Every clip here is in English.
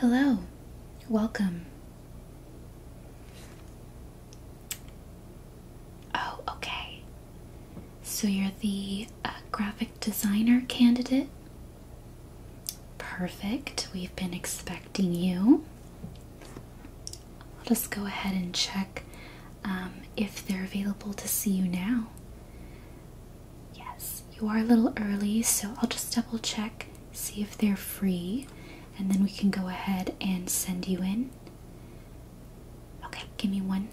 Hello, welcome. Oh, okay. So you're the uh, graphic designer candidate? Perfect. We've been expecting you. I'll just go ahead and check um, if they're available to see you now. Yes, you are a little early, so I'll just double check, see if they're free, and then we can go ahead and send you in. Okay, give me one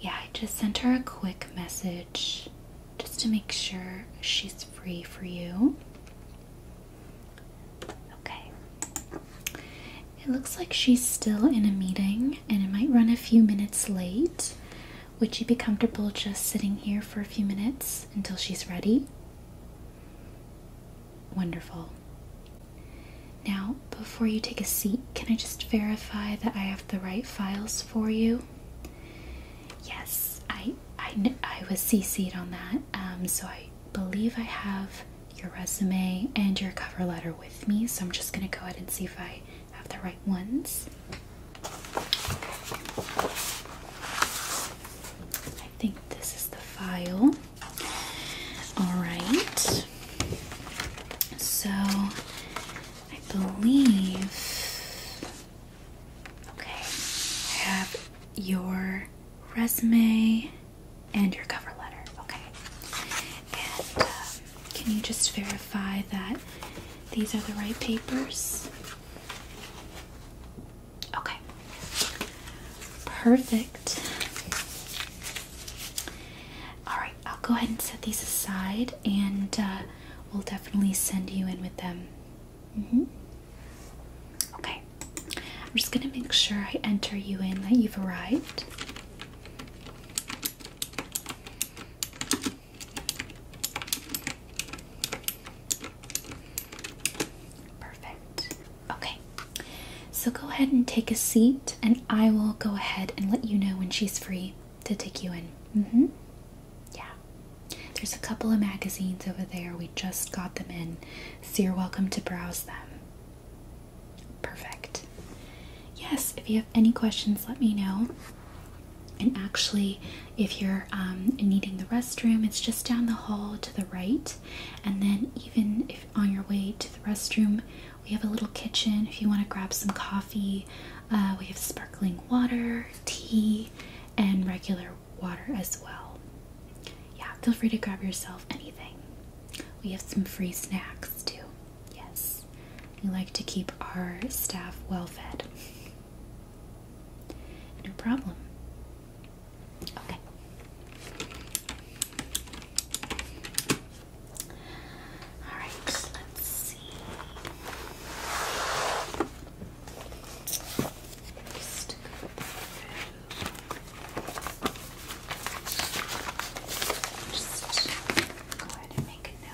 Yeah, I just sent her a quick message just to make sure she's free for you. Okay. It looks like she's still in a meeting and it might run a few minutes late. Would you be comfortable just sitting here for a few minutes until she's ready? Wonderful. Now, before you take a seat, can I just verify that I have the right files for you? Yes, I I, I was cc'd on that, um, so I believe I have your resume and your cover letter with me. So I'm just gonna go ahead and see if I have the right ones. I think this is the file. Alright. So I believe okay, have your resume and your cover letter. Okay. Um, can you just verify that these are the right papers? Okay. Perfect. All right, I'll go ahead and set these aside and uh, we'll definitely send you in with them. -hmm. Okay. I'm just going to make sure I enter you in that you've arrived. Perfect. Okay. So go ahead and take a seat, and I will go ahead and let you know when she's free to take you in. Mm hmm. Yeah. There's a couple of magazines over there. We just got them in, so you're welcome to browse them. Perfect. Yes, if you have any questions, let me know. And actually, if you're um, needing the restroom, it's just down the hall to the right. And then, even on your way to the restroom, we have a little kitchen if you want to grab some coffee. Uh, we have sparkling water, tea, and regular water as well. Yeah, feel free to grab yourself anything. We have some free snacks too. Yes we like to keep our staff well fed. No problem. Okay. All right, let's see. Just go ahead and make a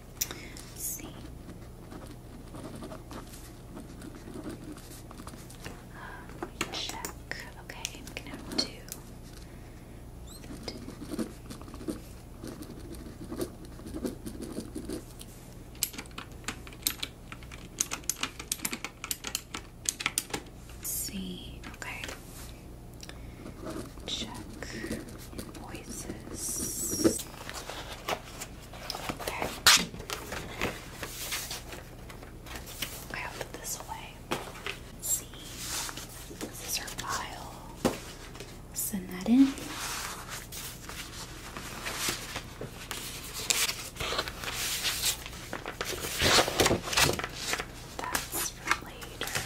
Let's see. check. Okay, we can have two. two. see. Okay. Check invoices. Okay. Okay, i put this away. see. This is our file. Send that in. That's for later.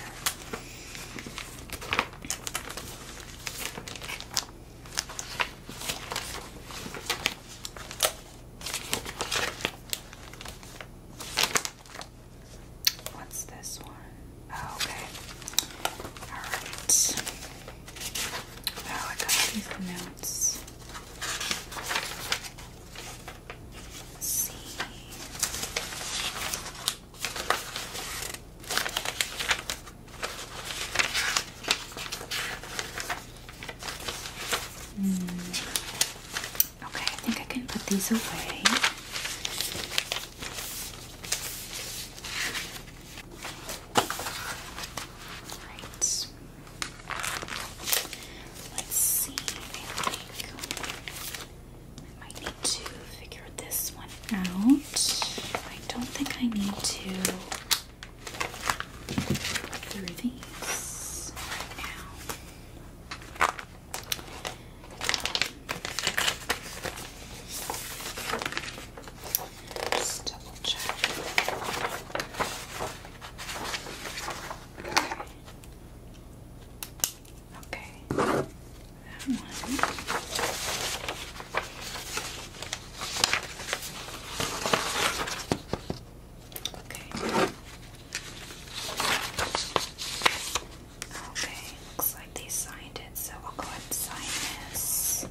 What's this one? Oh, okay. Alright. Oh, I got these notes. see. Mm. Okay, I think I can put these away. Let's see. I might need to figure this one out. I don't think I need to go through these now. double check. Okay. Okay. That one. Okay. Okay, looks like they signed it, so I'll go ahead and sign this.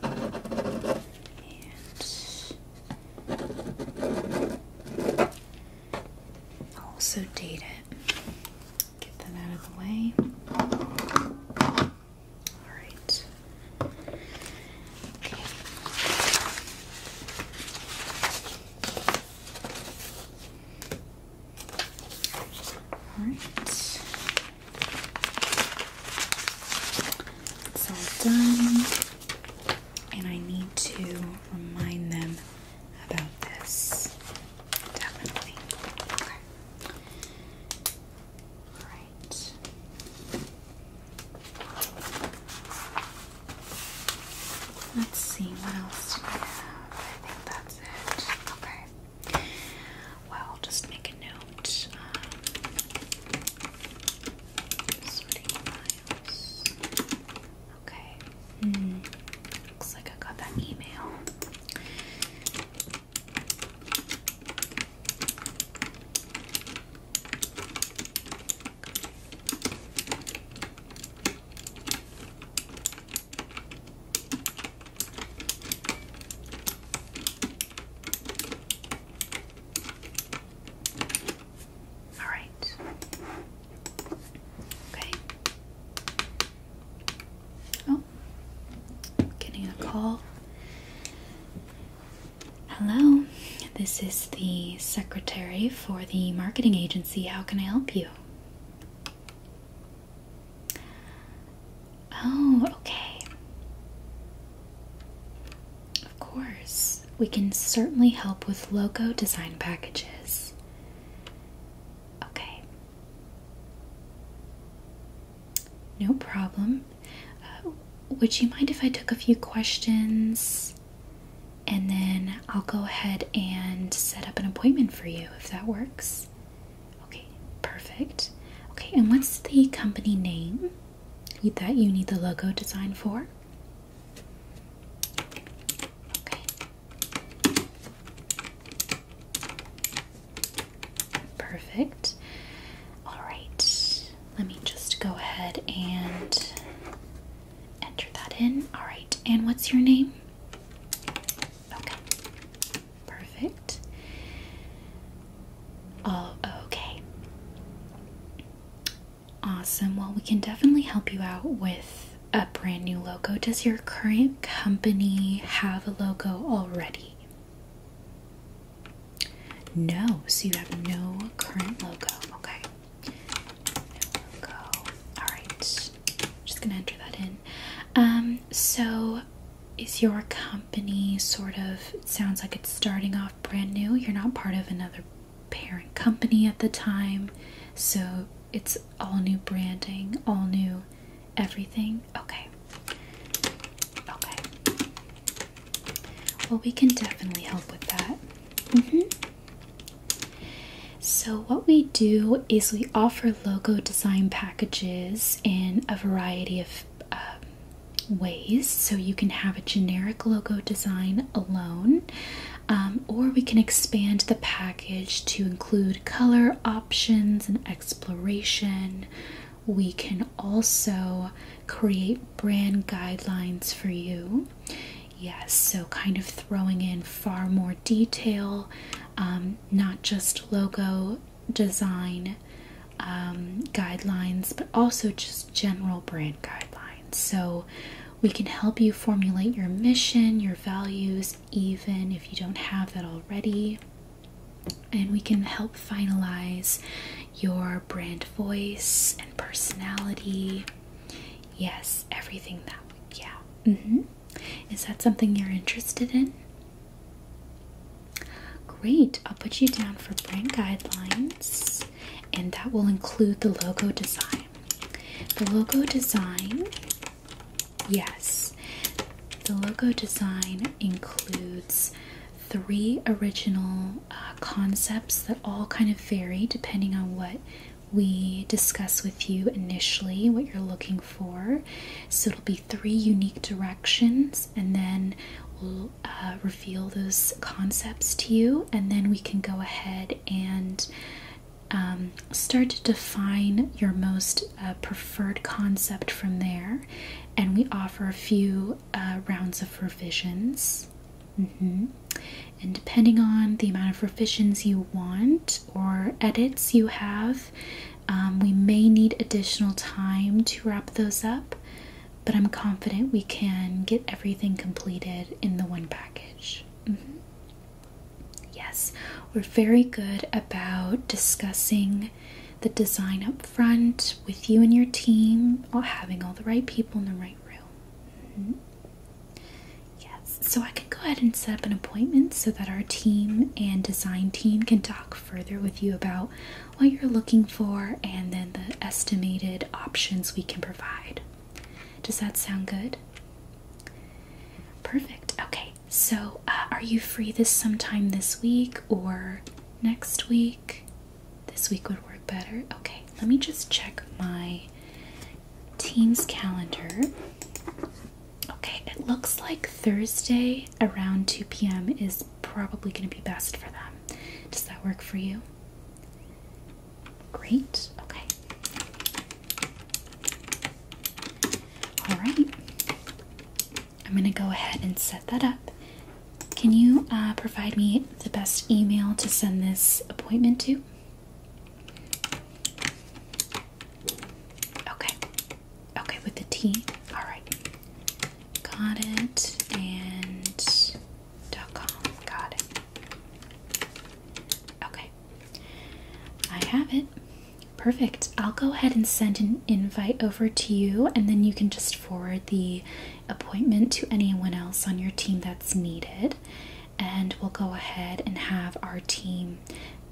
And also date it. Get that out of the way. All right. Okay. All right. It's all done. And I need to remind them about this. Definitely. All right. Let's see, what else do we have? I think that's it. Okay. Well, just make a note. Um, okay. Hmm. looks like I got that email. All right. Okay. Oh, getting a call. Hello, this is the secretary for the marketing agency. How can I help you? Oh, okay. Of course, we can certainly help with logo design packages. Okay. No problem. Uh, would you mind if I took a few questions? And then I'll go ahead and set up an appointment for you if that works. Okay, perfect. Okay, and what's the company name that you need the logo design for? Okay. Perfect. All right. Let me just go ahead and enter that in. All right. And what's your name? Okay. Perfect. Oh, okay. Awesome. Well, we can definitely help you out with a brand new logo. Does your current company have a logo already? No, so you have no current logo. Okay. No logo. Alright. Just gonna enter that in. Um, so is your company sort of sounds like it's starting off brand new. You're not part of another parent company at the time. So it's all new branding, all new everything. Okay. Okay. Well, we can definitely help with that. Mm-hmm. So, what we do is we offer logo design packages in a variety of um, ways. So, you can have a generic logo design alone, um, or we can expand the package to include color options and exploration, we can also create brand guidelines for you. Yes, so kind of throwing in far more detail, um, not just logo design um, guidelines, but also just general brand guidelines. So we can help you formulate your mission, your values, even if you don't have that already and we can help finalize your brand voice and personality. Yes, everything that would, yeah. -hmm. Is that something you're interested in? Great, I'll put you down for brand guidelines, and that will include the logo design. The logo design, yes, the logo design includes three original uh, concepts that all kind of vary depending on what we discuss with you initially, what you're looking for. So it'll be three unique directions, and then we'll uh, reveal those concepts to you, and then we can go ahead and um, start to define your most uh, preferred concept from there and we offer a few uh, rounds of revisions. Mm-hmm. And depending on the amount of revisions you want or edits you have, um, we may need additional time to wrap those up, but I'm confident we can get everything completed in the one package. Mm-hmm. Yes, we're very good about discussing the design up Front with you and your team, while having all the right people in the right room. Mm-hmm. Yes, so I can go ahead and set up an appointment so that our team and design team can talk further with you about what you're looking for and then the estimated options we can provide. Does that sound good? Perfect. Okay, so uh, are you free this sometime this week or next week? This week would work better. Okay, let me just check my team's calendar. Okay, it looks like Thursday around 2 p.m. is probably going to be best for them. Does that work for you? Great, okay. All right. I'm going to go ahead and set that up. Can you uh, provide me the best email to send this appointment to? Okay. Okay, with the T. All right. Got it. And dot com. Got it. Okay. I have it. Perfect. I'll go ahead and send an invite over to you, and then you can just forward the appointment to anyone else on your team that's needed. And we'll go ahead and have our team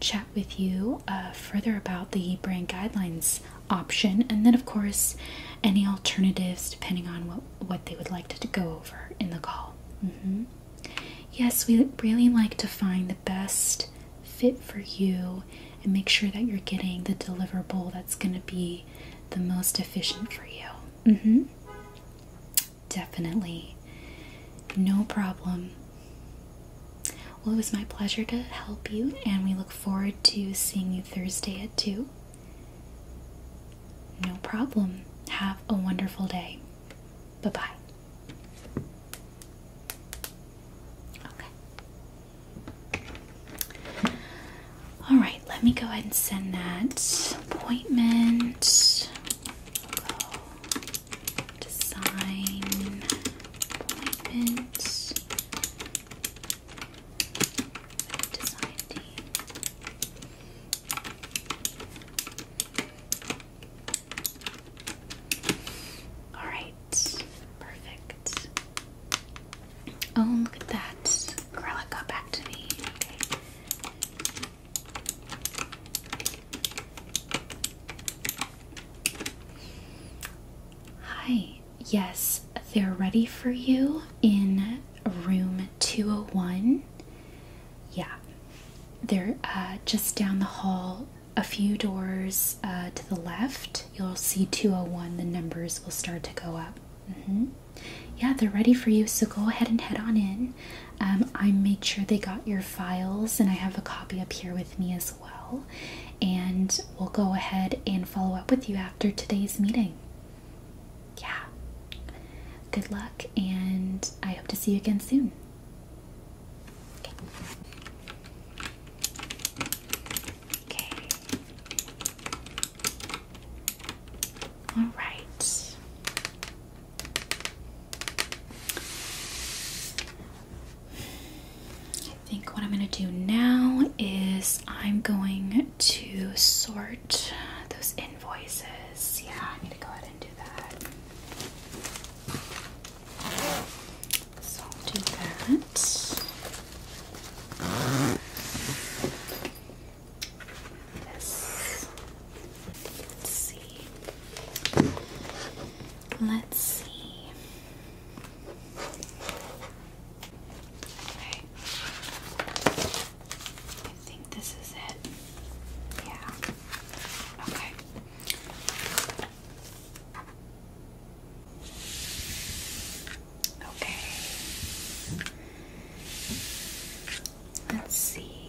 chat with you uh, further about the brand guidelines option, and then, of course, any alternatives depending on what, what they would like to, go over in the call. Mm-hmm. Yes, we really like to find the best fit for you and make sure that you're getting the deliverable that's going to be the most efficient for you. Mm-hmm. Definitely. No problem. Well, it was my pleasure to help you, and we look forward to seeing you Thursday at 2. No problem. Have a wonderful day. Bye bye. Okay. All right, let me go ahead and send that appointment. we appointment. All right, Perfect. Oh, look at that. Grella got back to me. Hi. Yes, they're ready for you in room 201. Yeah. They're uh, just down the hall a few doors uh, to the left, you'll see 201. The numbers will start to go up. Mm-hmm. Yeah, they're ready for you, so go ahead and head on in. Um, I made sure they got your files, and I have a copy up here with me as well. And we'll go ahead and follow up with you after today's meeting. Yeah. Good luck, and I hope to see you again soon. Okay. All right. I think what I'm going to do now is I'm going to sort those invoices. Yeah, I need to go ahead and do that. So do that. This. Let's see. Let's see. Okay. I think this is it. Yeah. Okay. Okay. Let's see.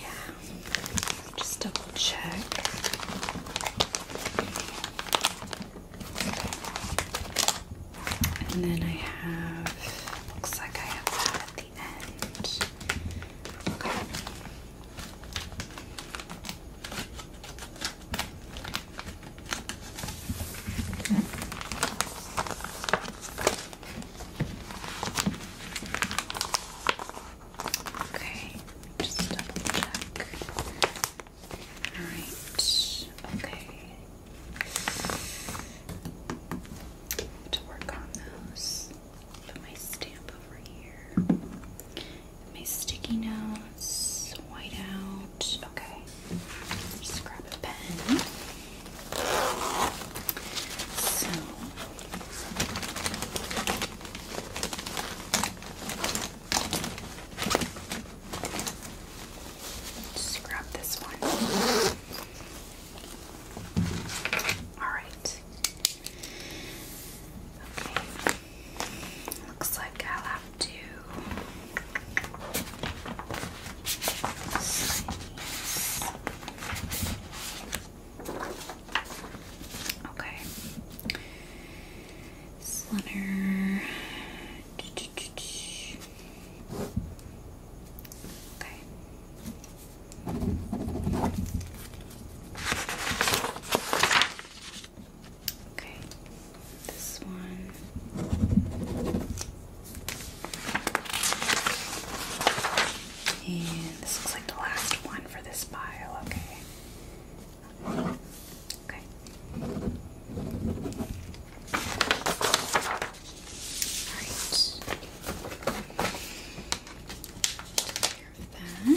Yeah. Just double check. And then I have looks like I have that at the end. Okay. Okay, just double check. Alright, okay. To work on those. Put my stamp over here. My sticky notes, white out. Okay. Just grab a pen. So just grab this one. Alright. Okay. Looks like I'll have to Okay. Slender. Okay. Okay, this one. And this looks like the last one for this pile, okay? Okay. Alright that.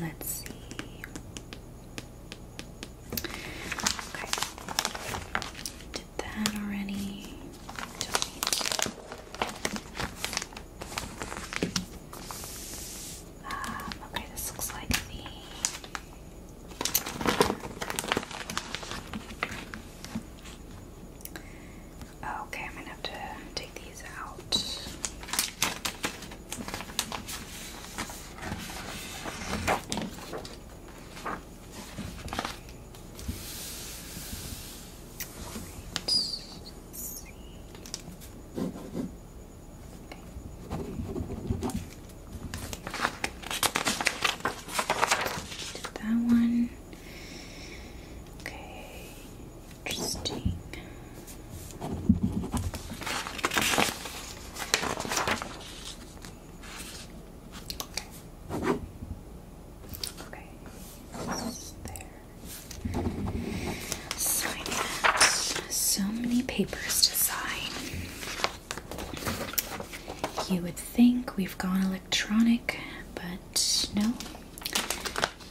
Let's see. Okay. Did that already? Um, okay, this looks like the Okay, I'm gonna have to take these out. Did that one. Okay, interesting. Okay, there. So many papers to sign. You would think we've gone electronic, but no.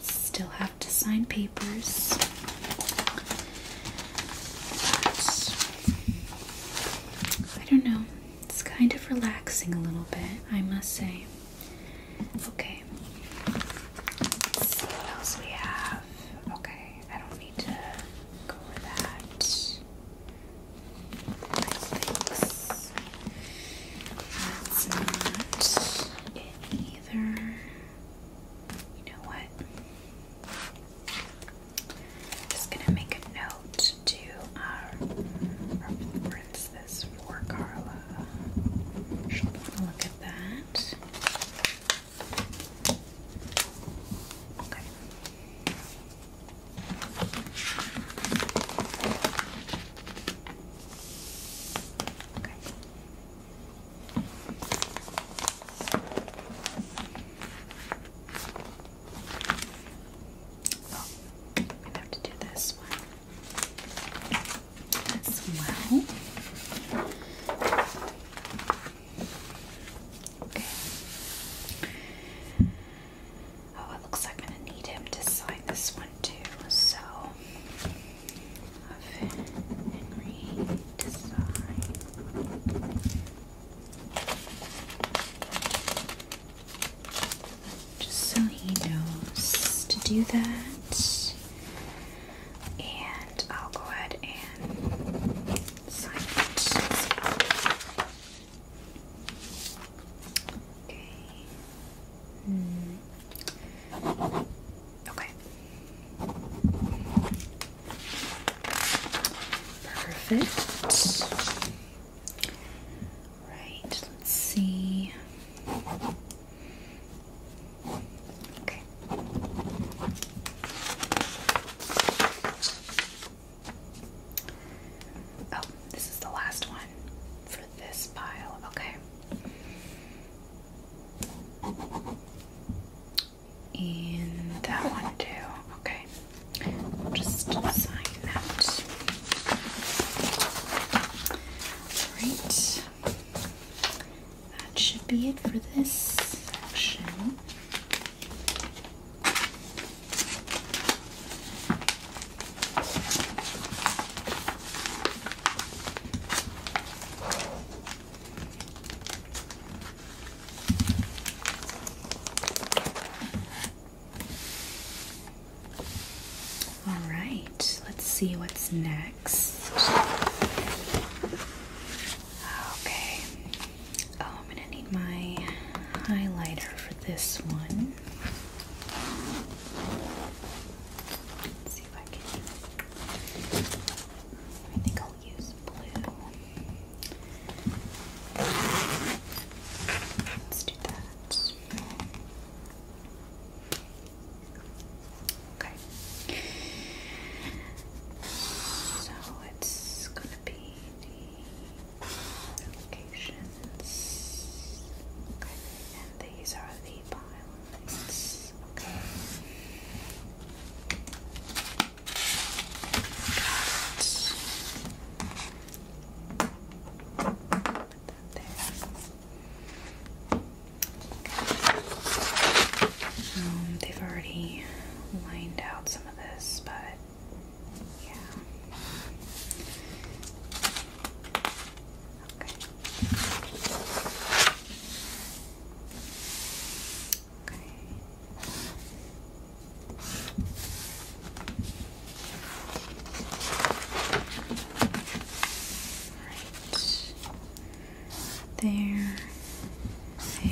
Still have to sign papers. I don't know. It's kind of relaxing a little bit, I must say. Okay. see what else we have. Okay, I don't need to go with that. Thanks. That's not it either. You know what? just gonna make a note to our reference this for, Carla? look at that. Okay. Okay. Oh, i have to do this one as well. Oh, it looks like I'm going to need him to sign this one too. So, have Henry to sign just so he knows to do that. And I'll go ahead and sign it. Okay. Perfect. Right, let's see. Okay. Oh, this is the last one for this pile. Okay. And that one too. Okay. Just sign that. Alright. That should be it for this section. All right, let's see what's next. Okay. Oh, I'm gonna need my highlighter for this one. Let's do that. Okay. So it's going to be the locations. Okay. And these are the pylons. Okay. Um, they've already lined out some of this, but yeah. Okay. Okay. There. There.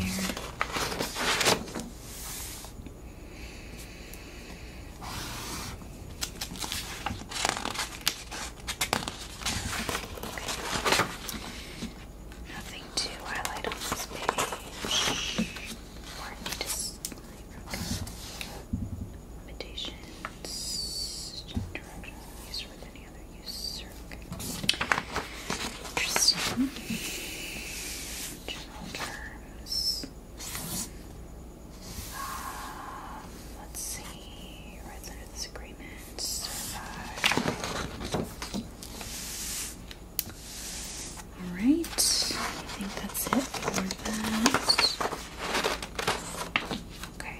Nothing to highlight on this page. Limitations, directions, use with any other user. Interesting. General terms. let's see. Rights under this agreement. Alright, I think that's it for that. Okay. okay.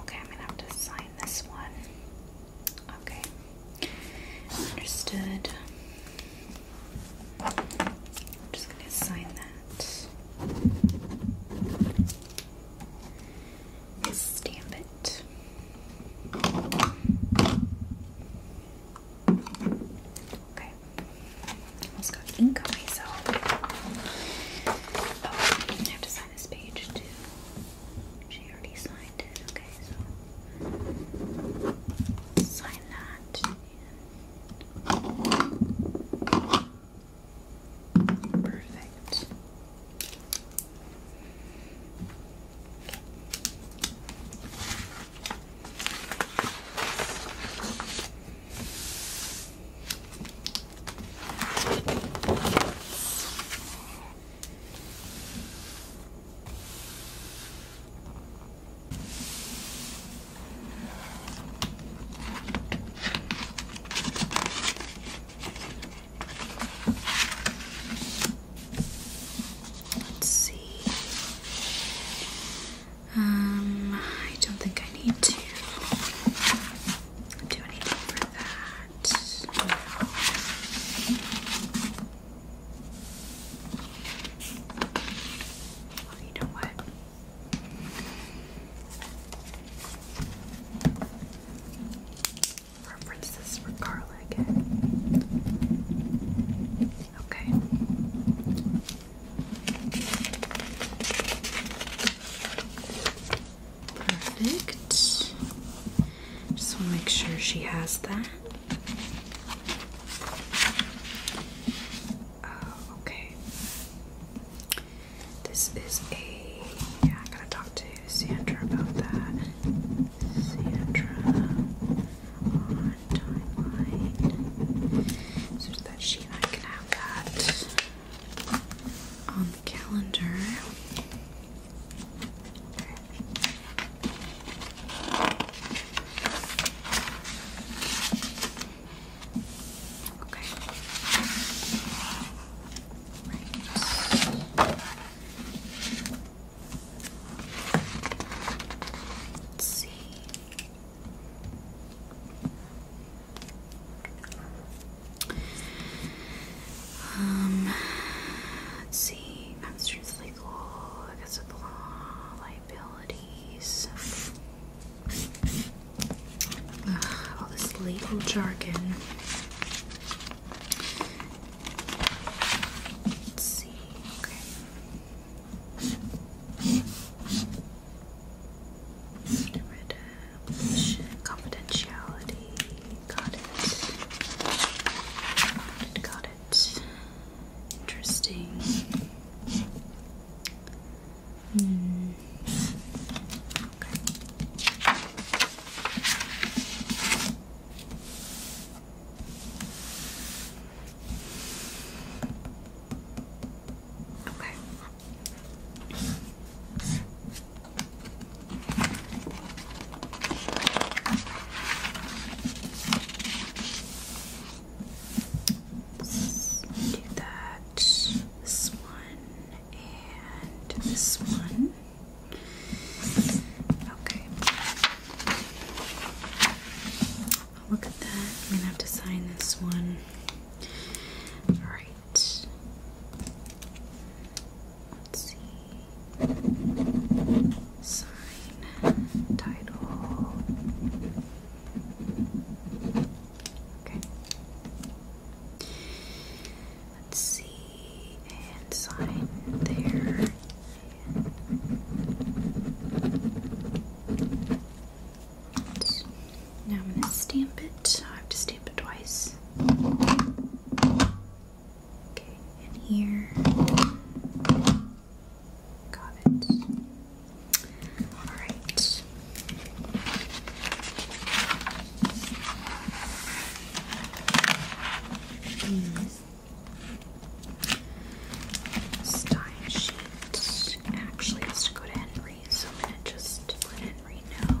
Okay, I'm gonna have to sign this one. Okay. Understood. I'm just going to sign that. Stamp it. Okay. Almost got ink myself. Oh, I have to sign this page too. She already signed it, okay, so sign that. And perfect. Let's see. Um, I don't think I need to do anything for that that you know what? Reference for Carla Okay. Perfect. Just want to make sure she has that. Oh, okay. This is a. Yeah, I gotta talk to Sandra about that. Sandra on timeline. So that she and I can have that on the calendar. Right. Let's see. Um, let's see. Constraints legal, I guess with liabilities. all this legal jargon. Let's see. Okay. Confidentiality. Got it. Got it. Interesting. Hmm. Okay do that. This one and this one. Okay. i look at that. I'm gonna have to sign this one. All right let's see. Sign, title. Okay. Let's see, and sign there. now I'm going to stamp it. I have to stamp it twice. Okay, and here. Got it. Alright. These hmm. style sheets actually has to go to Henry, so I'm gonna just let Henry know.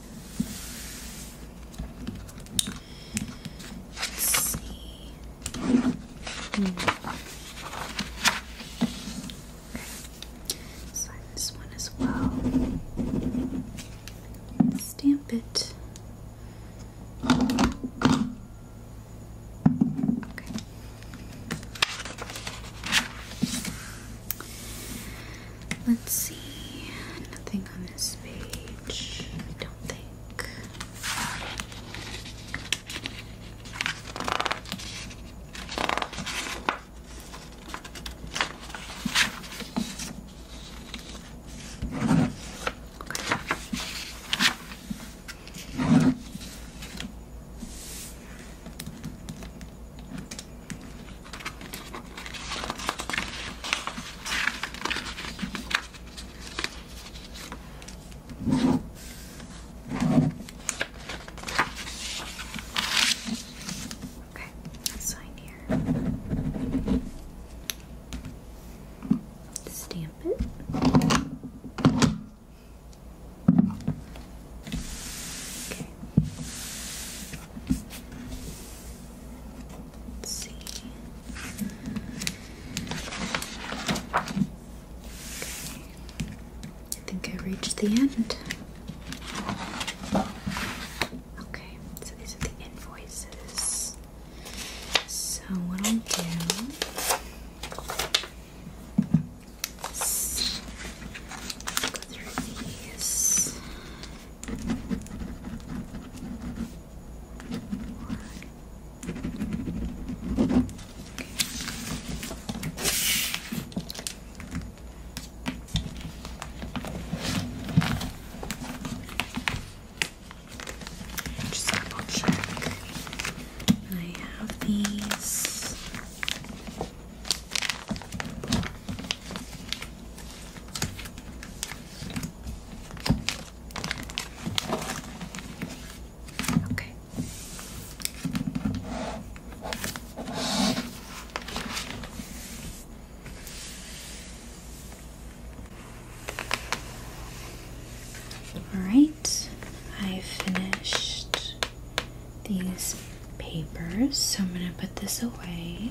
Let's see. Hmm. Okay. this one as well. Stamp it. Okay. Let's see. Nothing on this page, I don't think. Okay, sign here. Stamp it. Okay. I think I reached the end. Okay, so these are the invoices. So, what I'll do is go through these. Just double check. I have these. Okay. All right, I finished these papers, so I'm going to put this away.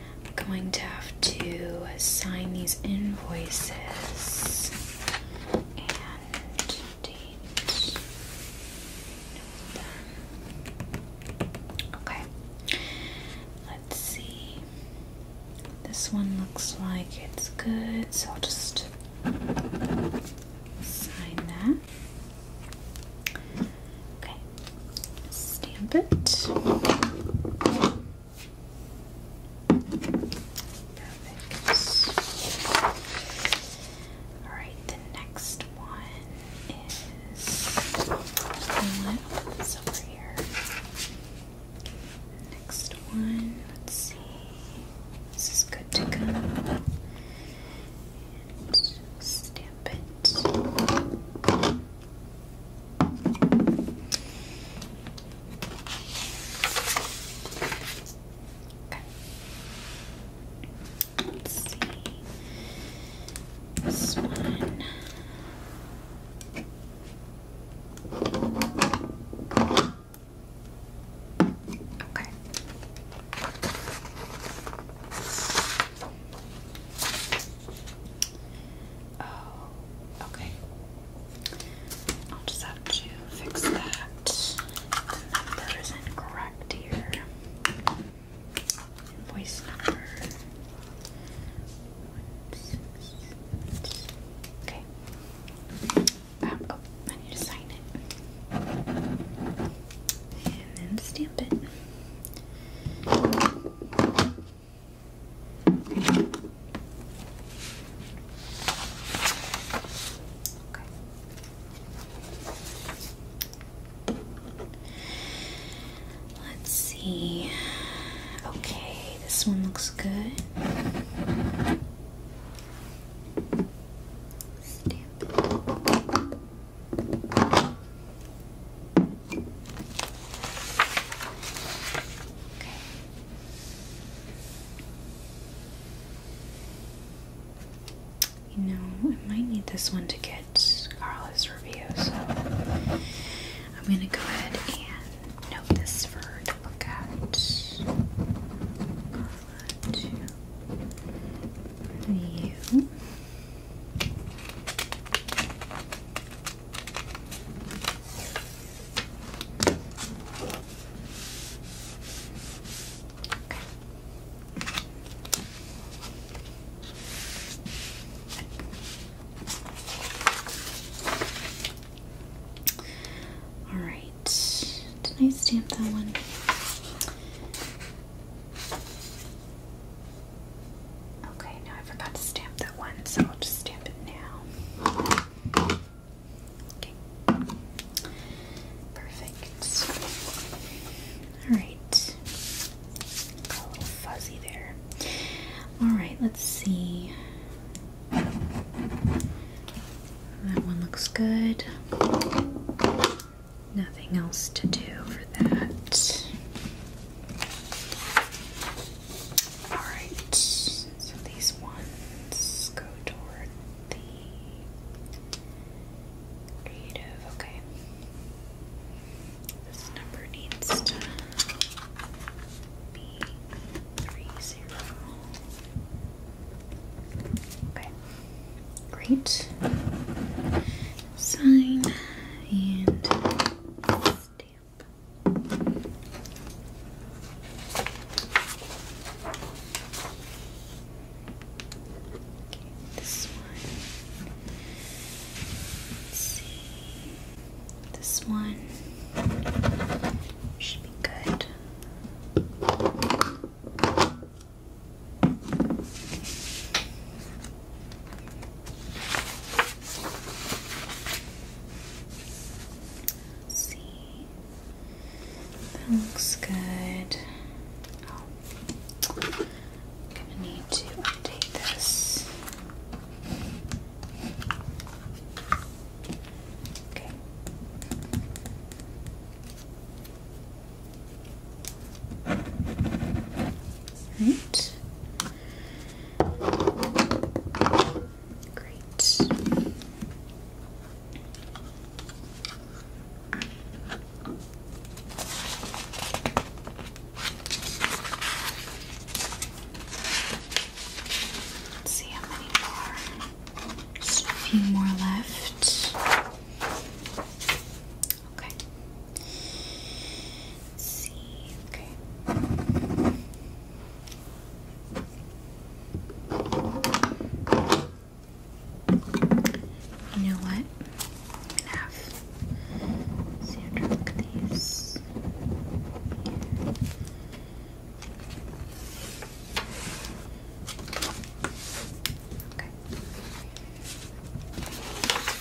I'm going to have to sign these invoices and date Okay, let's see. This one looks like it's good, so I'll just sign that. Okay, stamp it. Perfect. All right, the next one is. I'm open over here. Next one, let's see. This is good to go. And stamp it. Okay. Let's see. This one. Okay. Oh, okay. I'll just have to fix that. The number isn't here. Invoice number. Okay. Um, oh, I need to sign it. And then stamp it. Let's see. Okay, this one looks good. You know, I might need this one to get Carla's review, so I'm gonna go ahead and note this for her to look at. All right. Did I stamp that one? Okay, now I forgot to stamp that one, so I'll just stamp it now. Perfect. Alright. a little fuzzy there. Alright, let's see. That one looks good. Nothing else to do for that. Alright, so these ones go toward the creative. Okay. This number needs to be three zero. Okay. Great sign and stamp. this one. Let's see. This one should be good see. That looks good. I'm oh, gonna need to update this. Okay. Right. Great. see how many more. Just a few more left. Okay. Let's see. Okay. You know what? I'm gonna these. Okay.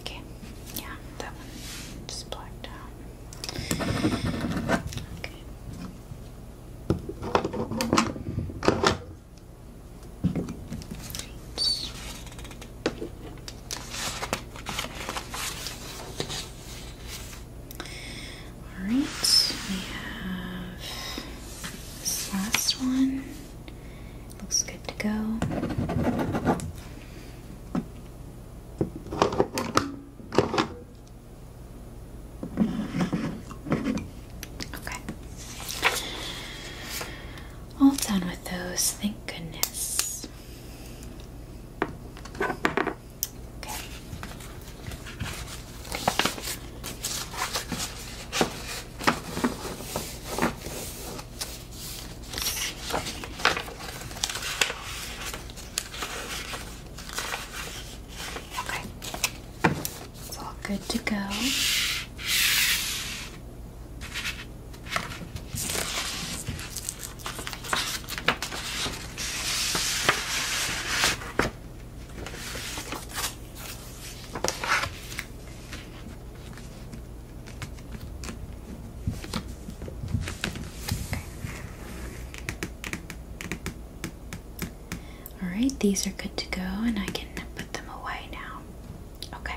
Okay, yeah, that one just blacked out. Okay. All right, we have this last one. Looks good to go. Okay. All done with those, thank goodness. Okay. It's all good to go. All right, these are good to go, and I can put them away now. Okay.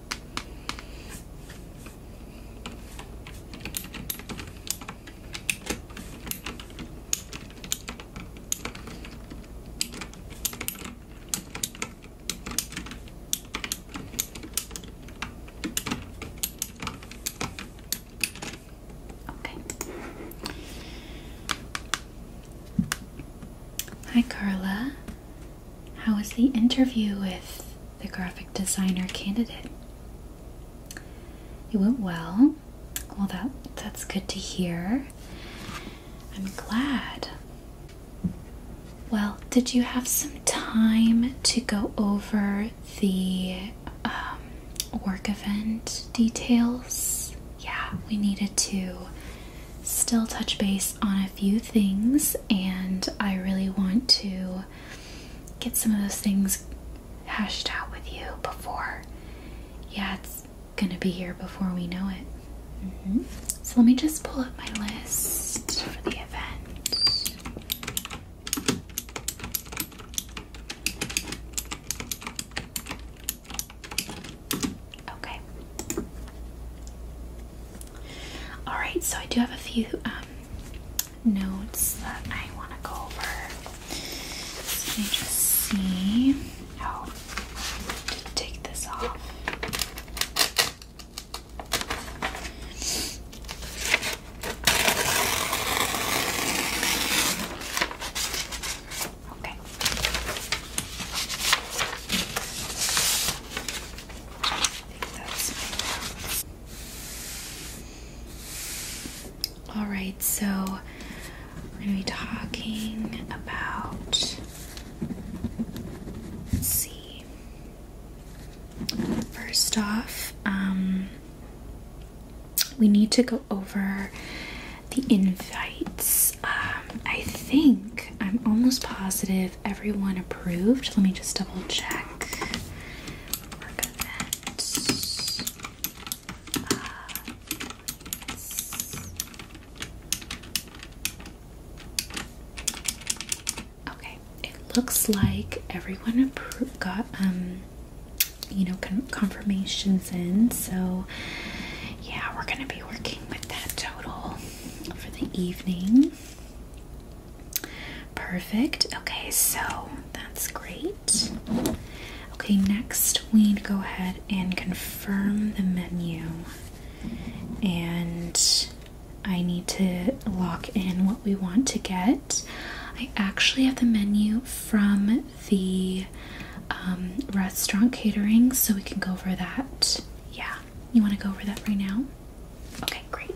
Okay. Hi, Carla. How was the interview with the graphic designer candidate? It went well. Well, that that's good to hear. I'm glad. Well, did you have some time to go over the um, work event details? Yeah, we needed to still touch base on a few things, and I really want to get some of those things hashed out with you before. Yeah, it's gonna be here before we know it. Mm-hmm. So let me just pull up my list for the event. Okay. All right, so I do have a few um, notes that I want to go over. let me just see. Oh, take this off. Okay. All right, so we're going to be talking about let's see. First off, um, we need to go over the invites. Um, I think I'm almost positive everyone approved. Let me just double check. Uh, okay, it looks like everyone got um you know confirmations in. So yeah, we're gonna be working with that total for the evening. Perfect. Okay, so that's great. Okay, next we need to go ahead and confirm the menu. And I need to lock in what we want to get. I actually have the menu from the um, restaurant catering, so we can go over that. Yeah. You want to go over that right now? Okay, great.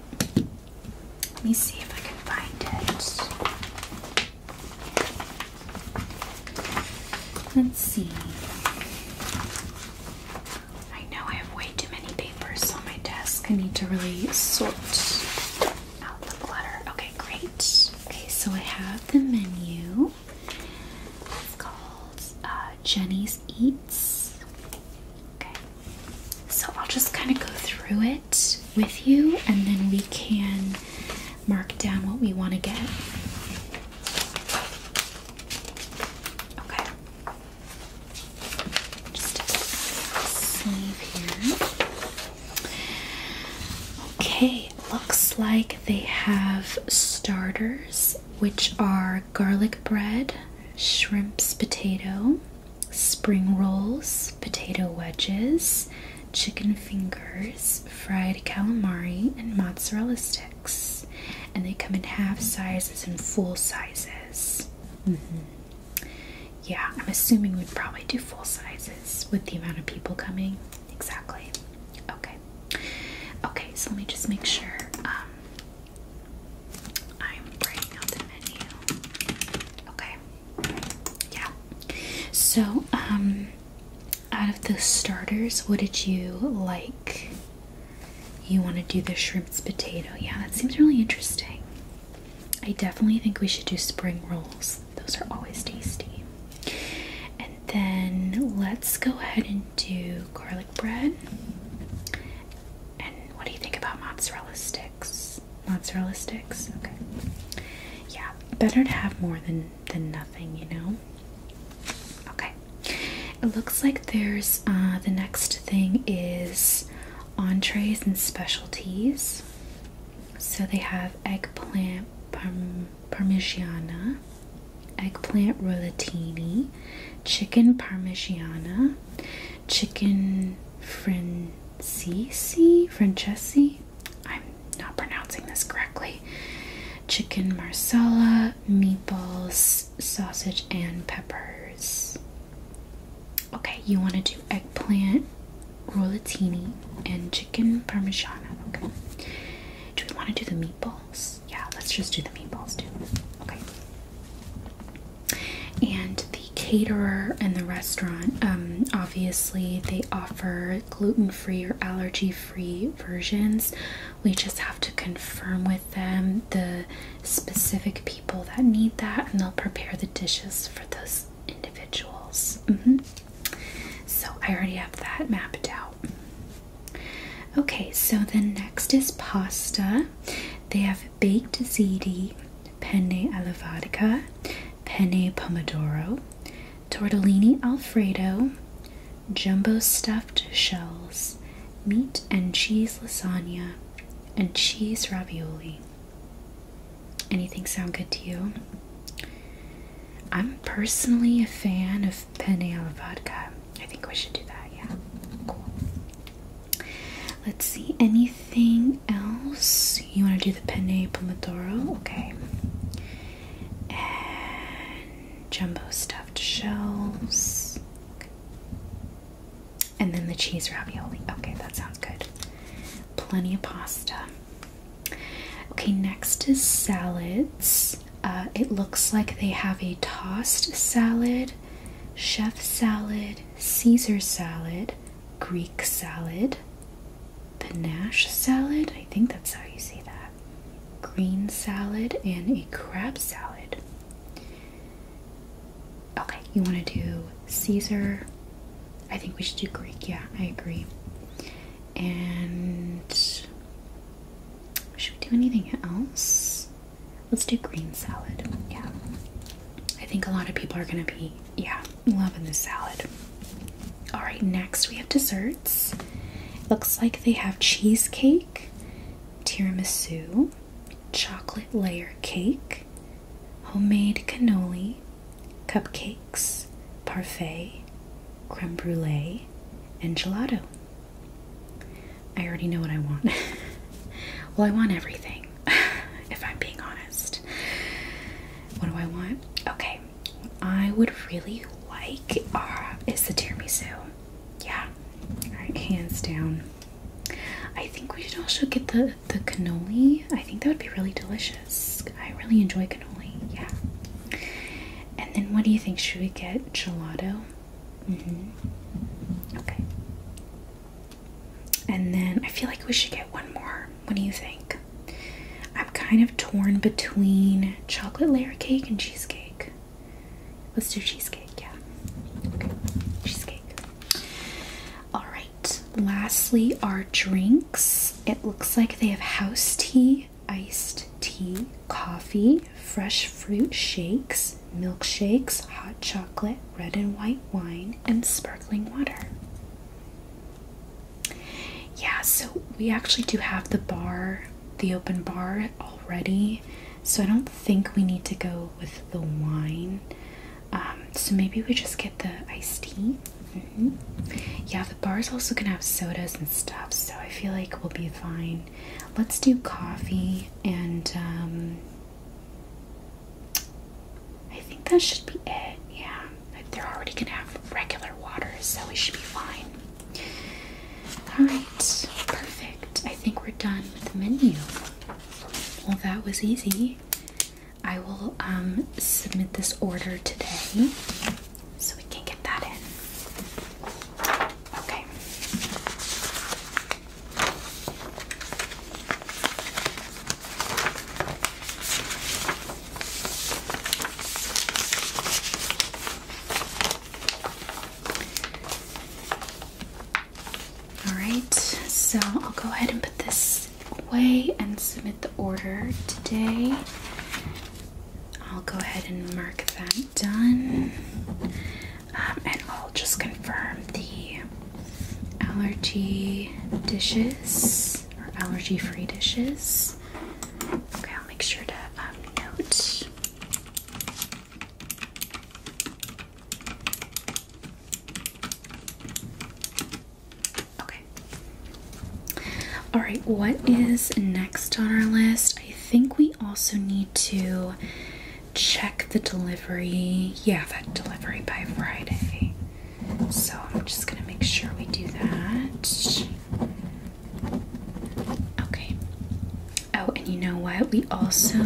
Let me see if I can find it. Let's see. I know I have way too many papers on my desk. I need to really sort out the clutter. Okay, great. Okay, so I have the menu. It's called uh, Jenny's Eats. Okay, so I'll just kind of go through it with you and then we can mark down what we want to get. Okay. Just a sleeve here. Okay, looks like they have starters which are garlic bread, shrimps potato, spring rolls, potato wedges, chicken fingers, fried calamari, and mozzarella sticks. And they come in half sizes and full sizes. Mm-hmm. Yeah, I'm assuming we'd probably do full sizes with the amount of people coming. Exactly. Okay. Okay. so let me just make sure um, I'm writing out the menu. Okay. Yeah. So, um, out of the starters, what did you like? You want to do the shrimp's potato. Yeah, that seems really interesting. I definitely think we should do spring rolls. Those are always tasty then let's go ahead and do garlic bread. And what do you think about mozzarella sticks? Mozzarella sticks? Okay. Yeah, better to have more than than nothing, you know? Okay. It looks like there's uh, the next thing is entrees and specialties. So they have eggplant parm parmigiana eggplant rollatini, chicken parmigiana, chicken francesi, francesi. I'm not pronouncing this correctly. Chicken marsala, meatballs, sausage, and peppers. Okay, you want to do eggplant rollatini and chicken parmigiana. Okay. Do we want to do the meatball? Yeah, let's just do the meatballs too. Okay. And the caterer and the restaurant, um, obviously, they offer gluten free or allergy free versions. We just have to confirm with them the specific people that need that, and they'll prepare the dishes for those individuals. Mm-hmm. So I already have that mapped out. Okay, so the next is pasta. They have baked ziti, penne alla allevadica, penne pomodoro, tortellini alfredo, jumbo stuffed shells, meat and cheese lasagna, and cheese ravioli. Anything sound good to you? I'm personally a fan of penne alla vodka. I think we should do that, yeah. Cool. Let's see, anything else? You want to do the penne pomodoro? Okay. And jumbo stuffed shells. And then the cheese ravioli. Okay, that sounds good. Plenty of pasta. Okay, next is salads. Uh, it looks like they have a tossed salad, chef salad, Caesar salad, Greek salad, panache salad. I think that's how you say that. Green salad and a crab salad. Okay, you want to do Caesar. I think we should do Greek. Yeah, I agree. And should we do anything else? Let's do green salad. Yeah. I think a lot of people are going to be, yeah, loving this salad. All right, next we have desserts. Looks like they have cheesecake, tiramisu, chocolate layer cake, homemade cannoli, cupcakes, parfait, creme brulee, and gelato. I already know what I want. well, I want everything, if I'm being honest. What do I want? Okay, I would really like uh, is the tiramisu. Yeah, right, hands down. I think we should also get the the cannoli. I think that would be really delicious. I really enjoy cannoli. Yeah. And then what do you think? Should we get gelato? Mm-hmm. Okay. And then I feel like we should get one more. What do you think? I'm kind of torn between chocolate layer cake and cheesecake. Let's do cheesecake, yeah. Okay, cheesecake. Alright, lastly, our drinks. It looks like they have house tea iced tea, coffee, fresh fruit shakes, milkshakes, hot chocolate, red and white wine, and sparkling water. Yeah, so we actually do have the bar, the open bar already, so I don't think we need to go with the wine. Um, so maybe we just get the iced tea. Mm-hmm. Yeah, the bar is also gonna have sodas and stuff, so I feel like we'll be fine. Let's do coffee and um, I think that should be it. Yeah. They're already gonna have regular water, so we should be fine. Alright, perfect. I think we're done with the menu. Well that was easy. I will um, submit this order today so we can get that in. Okay. All right, so I'll go ahead and put this away and submit the order today. I'll go ahead and mark that done. Um, and I'll just confirm the allergy dishes or allergy free dishes. Okay, I'll make sure to um, note. Okay. All right, what is next on our list? I think we also need to check the delivery. Yeah, that delivery by Friday. So I'm just going to make sure we do that. Okay. Oh, and you know what? We also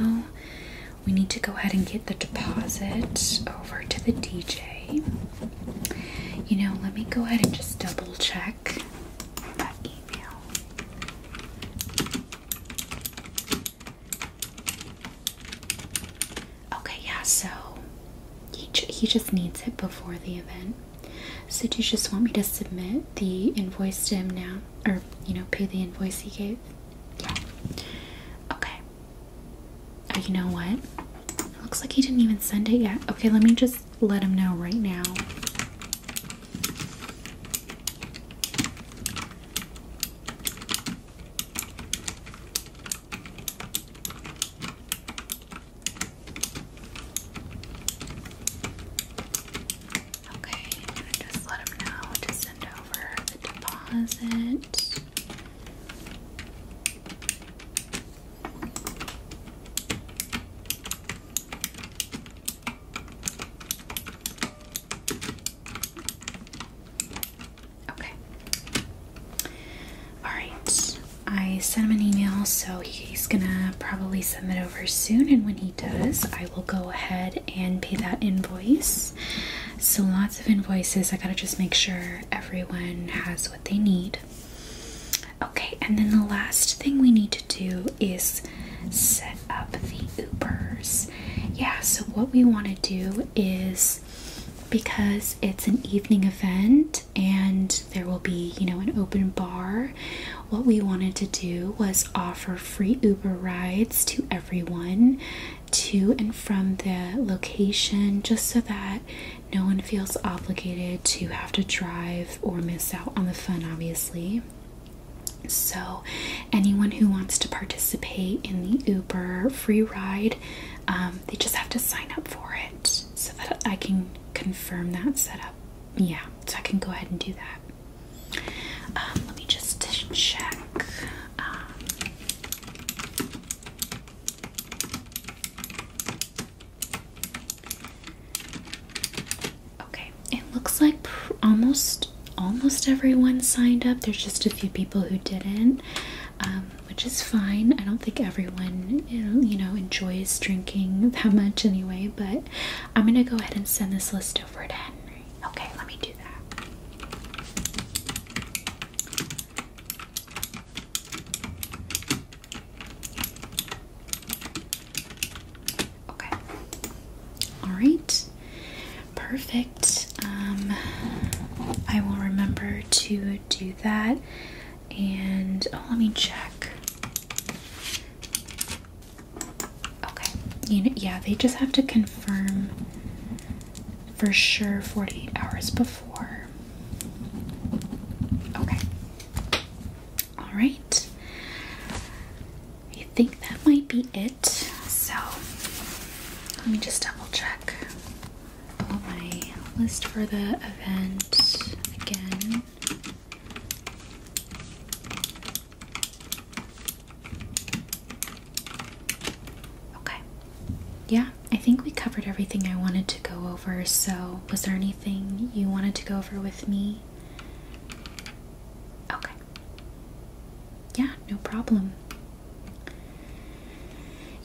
we need to go ahead and get the deposit over to the DJ. You know, let me go ahead and just double check Okay, yeah, so he, he just needs it before the event. So, do you just want me to submit the invoice to him now? Or, you know, pay the invoice he gave? Yeah. Okay. Uh, you know what? looks like he didn't even send it yet. Okay, let me just let him know right now. Okay, I'm gonna just let them know to send over the deposit. Okay. Alright. I sent him an email, so he's gonna probably send it over soon. And when he does, I will go ahead and pay that invoice. So, lots of invoices. I gotta just make sure everyone has what they need. Okay, and then the last thing we need to do is set up the Ubers. Yeah, so what we want to do is because it's an evening event and there will be, you know, an open bar, what we wanted to do was offer free Uber rides to everyone to and from the location just so that no one feels obligated to have to drive or miss out on the fun, obviously. So, anyone who wants to participate in the Uber free ride, um, they just have to sign up for it so that I can confirm that setup. Yeah, so I can go ahead and do that. Um, let me just check. Um, Okay, it looks like almost almost everyone signed up. There's just a few people who didn't, um, which is fine. I don't think everyone you know enjoys drinking that much anyway. But I'm gonna go ahead and send this list over to Henry. Okay, let me do that. Okay. All right. Perfect. Um, I will remember to do that. And oh, let me check. Okay. yeah, they just have to confirm for sure 48 hours before. Okay. All right. I think that might be it. So let me just double check my list for the event again. Okay. Yeah, I think we covered everything I wanted to go over. So, was there anything you wanted to go over with me? Okay. Yeah, no problem.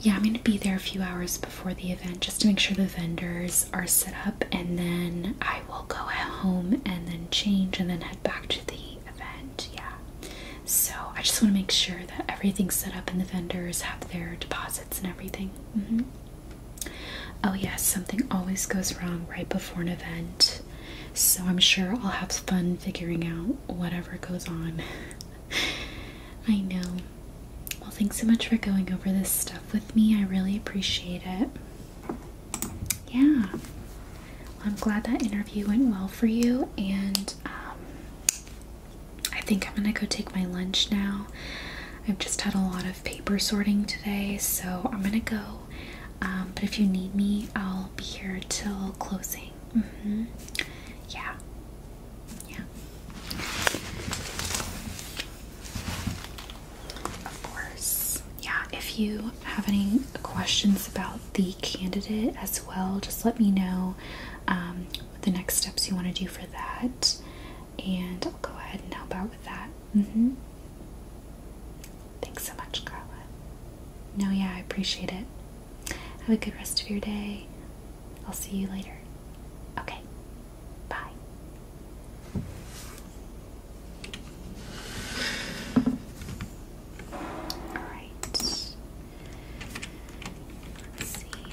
Yeah, I'm going to be there a few hours before the event just to make sure the vendors are set up, and then I will go home and then change and then head back to the event. Yeah. So I just want to make sure that everything's set up and the vendors have their deposits and everything. -hmm. Oh, yes, something always goes wrong right before an event. So I'm sure I'll have fun figuring out whatever goes on. I know. Well, thanks so much for going over this stuff with me. I really appreciate it. Yeah. I'm glad that interview went well for you, and um, I think I'm gonna go take my lunch now. I've just had a lot of paper sorting today, so I'm gonna go. Um, but if you need me, I'll be here till closing. Mm-hmm. Yeah. Yeah. Of course. Yeah, if you have any questions about the candidate as well, just let me know What um, the next steps you want to do for that and I'll go ahead and help out with that. Mm-hmm. Thanks so much, Carla. No, yeah, I appreciate it. Have a good rest of your day. I'll see you later. Okay. Bye. All right. Let's see.